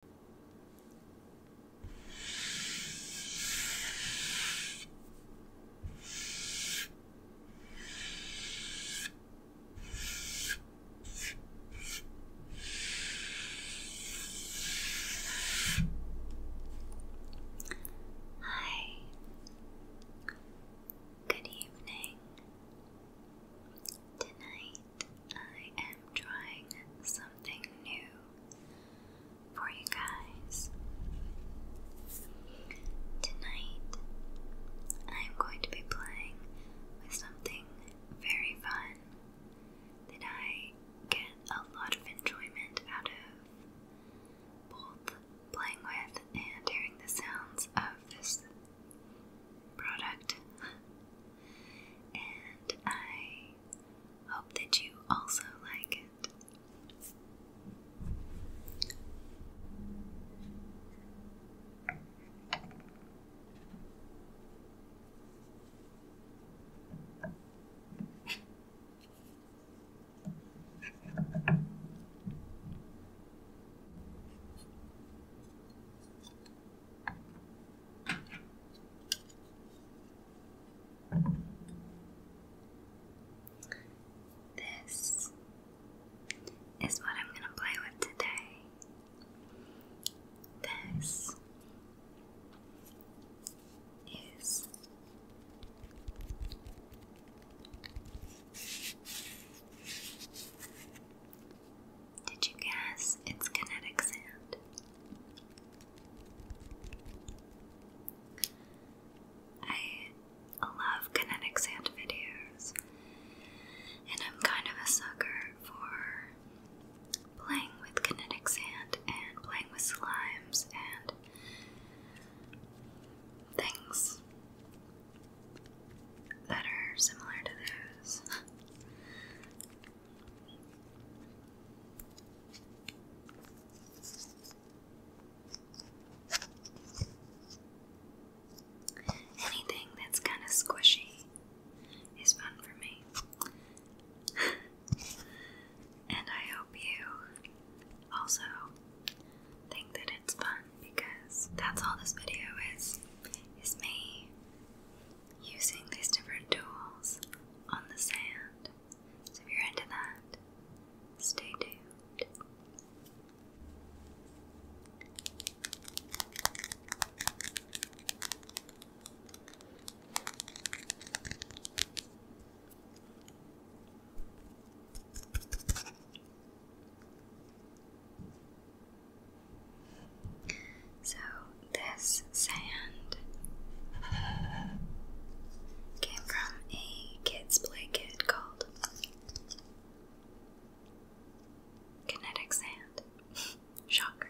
Hi. Good evening. Tonight I am trying something new for you guys. Tonight, I'm going to be playing with something very fun that I get a lot of enjoyment out of, both playing with and hearing the sounds of this product. and I Hope that you also like it. This is what I'm going to play with today. This is did you guess its kinetic sound? I love kinetic sound videos, and I'm kind of a sucker for playing with kinetic sand and playing with slimes and things that are similar to those. Anything that's kind of squishy is fun for me. and I hope you also think that it's fun because that's all this video is. Is me using these different tools on the sand. So if you're into that, stay tuned. So this sand came from a kids play kit called Kinetic Sand. Shocker.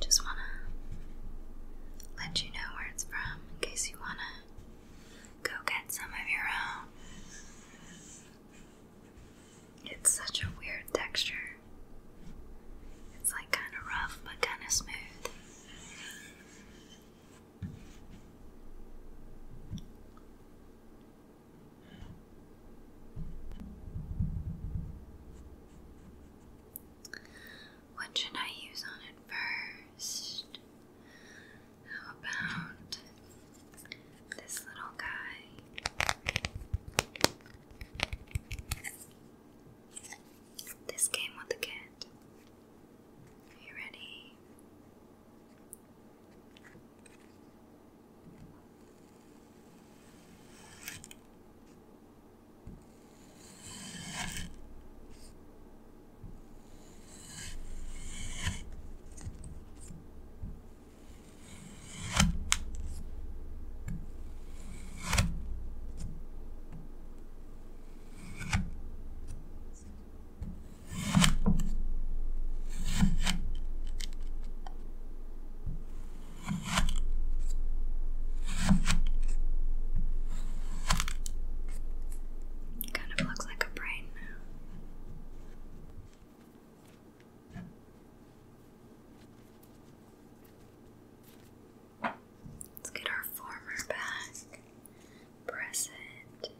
Just wanna let you know where it's from in case you wanna go get some of your own. It's such a weird texture. It's like kind of rough but kind of smooth. What should I use on it first? How about this little guy? This came with a kit. Are you ready? Kind of looks like a brain Let's get our former back, press it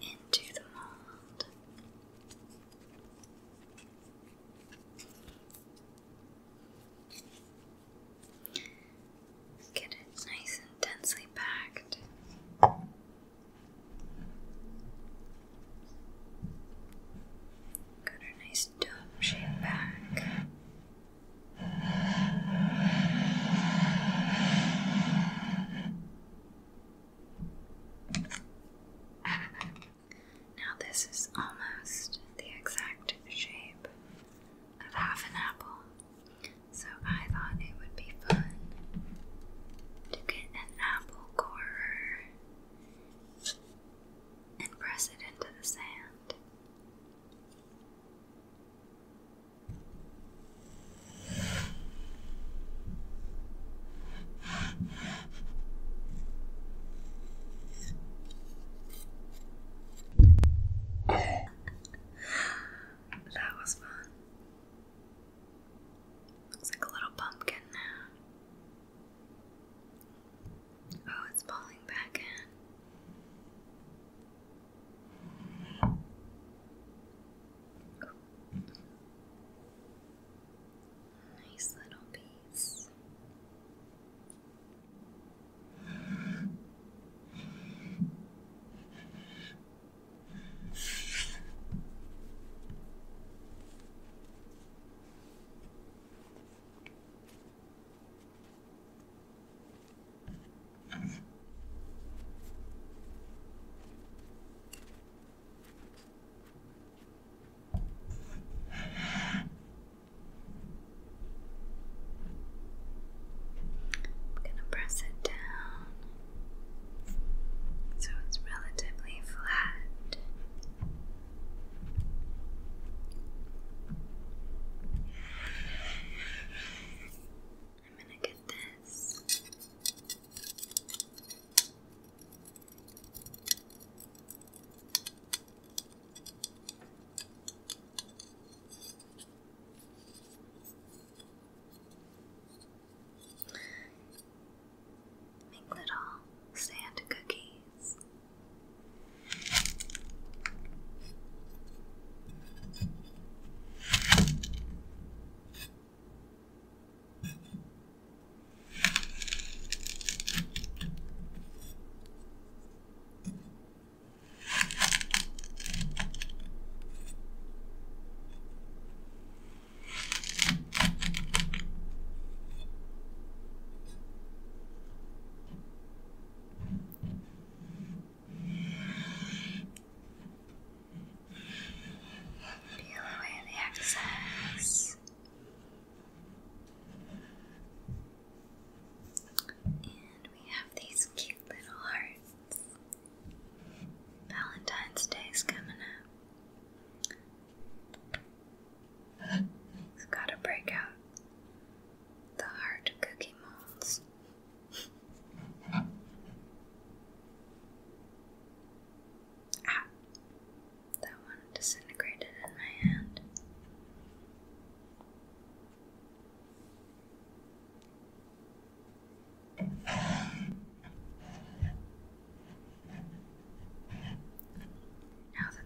into the mold. Get it nice and densely packed. Got a nice dome shape back. Now, this is almost the exact shape of half an apple, so I thought it would be fun to get an apple corer and press it into the sand. that was fun. Looks like a little pumpkin now. Oh, it's falling back in. Nice little piece. I'm gonna press it down so it's relatively flat. I'm gonna get this. Make little sand cookies. Deal away the excess and we have these cute little hearts. Valentine's Day's coming up. It's gotta break out the hard cookie molds. ah. That one disintegrated in my hand. Now that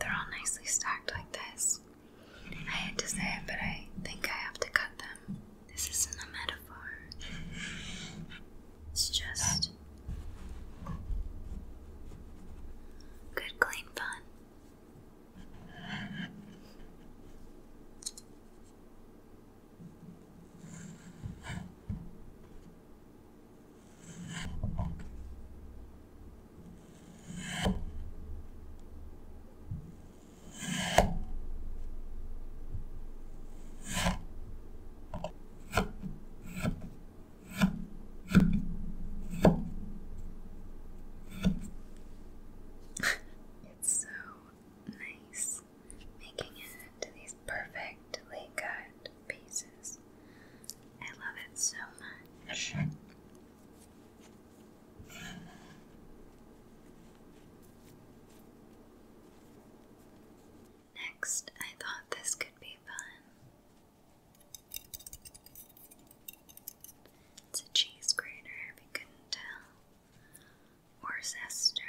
they're all nicely stacked like this, I hate to say it, but I think I have to cut them. This isn't a metaphor, it's just good, clean fun it's so nice making it into these perfectly cut pieces. I love it so much. Next, I thought this could be fun. It's a cheese grater, if you couldn't tell or zester.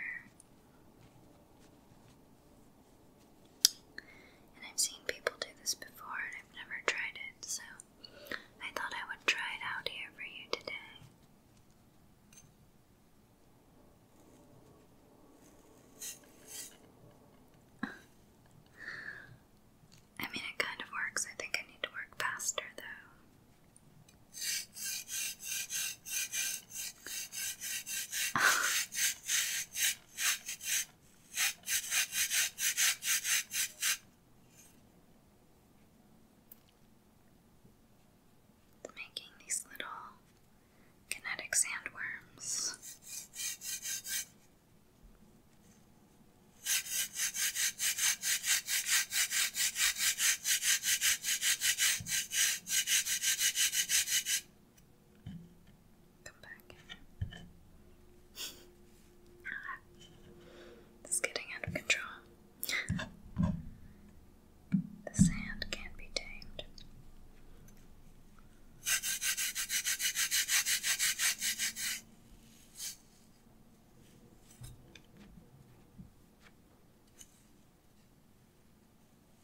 And I've seen people do this before and I've never tried it, so I thought I would try it out here for you today. I mean, it kind of works. I think I need to work faster though. Making these little kinetic sandworms. Come back. this getting out of control. The sand can't be tamed.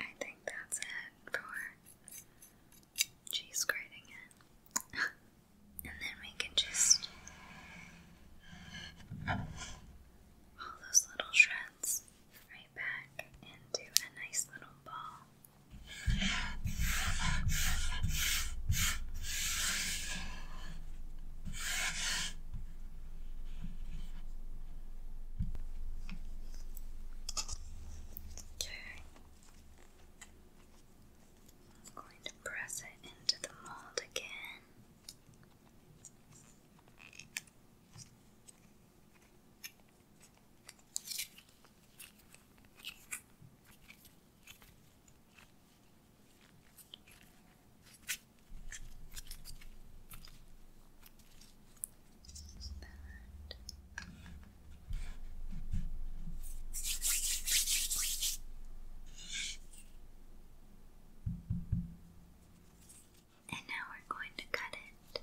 I think that's it for cheese grating it. and then we can just all those little shreds right back into a nice little ball. Okay. I'm going to press it into the mold again that. And now we're going to cut it.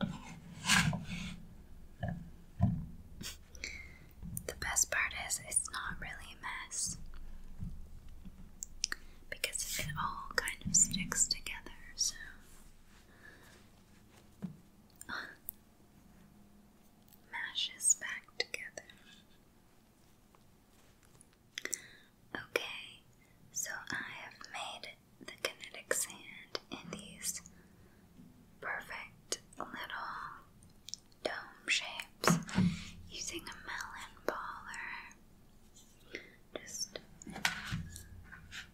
The best part is it's not really a mess because it all kind of sticks together, so. Mashes back together. Okay, so I have made the kinetic sand in these perfect little dome shapes using a melon baller. Just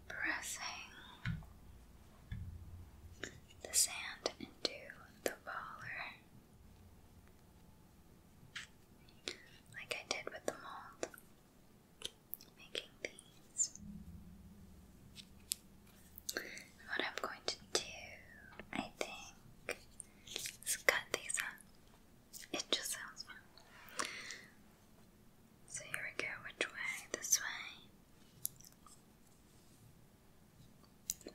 pressing the sand into the baller. Like I did with the mold making these. what I'm going to do, I think, is cut these up. It just sounds fun. So here we go. Which way? This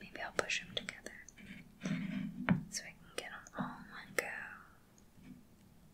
way. Maybe I'll push them together so I can get them all one go.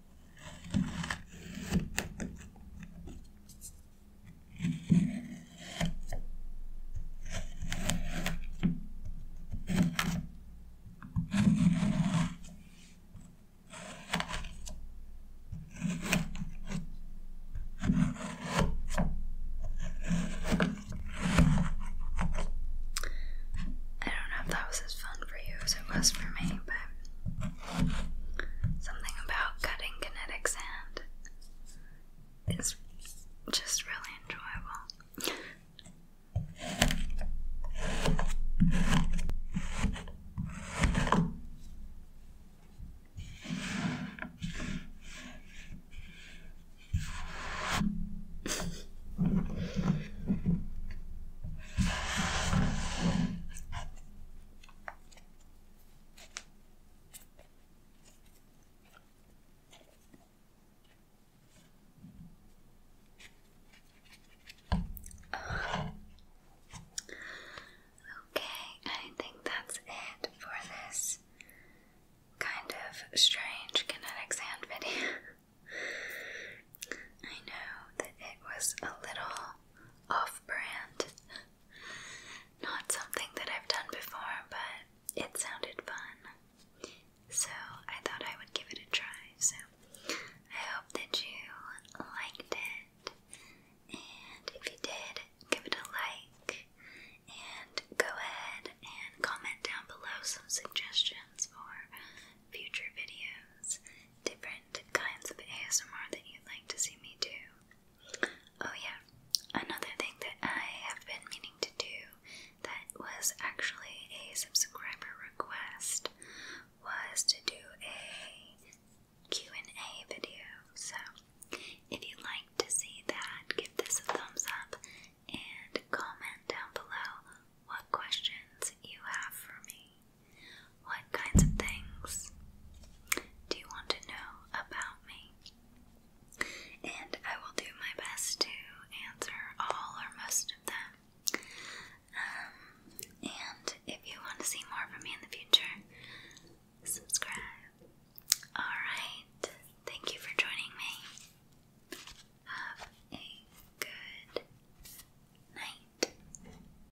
I don't know if that was as fun for you as it was for me, but Something about cutting kinetic sand is just really enjoyable. Okay, I think that's it for this kind of strange kinetic sand video. I know that it was a little off brand. Not something that I've done before, but it sounded fun. So I thought I would give it a try. So I hope that you liked it. And if you did, give it a like. And go ahead and comment down below some suggestions for future videos different kinds of ASMR that you'd like to see me do. Oh, yeah, another thing that I have been meaning to do that was actually a subscriber request was to do a and a video. So, if you'd like to see that, give this a thumbs up and comment down below what questions you have for me. What kinds of things do you want to know about me? And I will do my best to answer all or most of them. Um, and if you want to see more from me in the future, subscribe. Alright, thank you for joining me. Have a good night.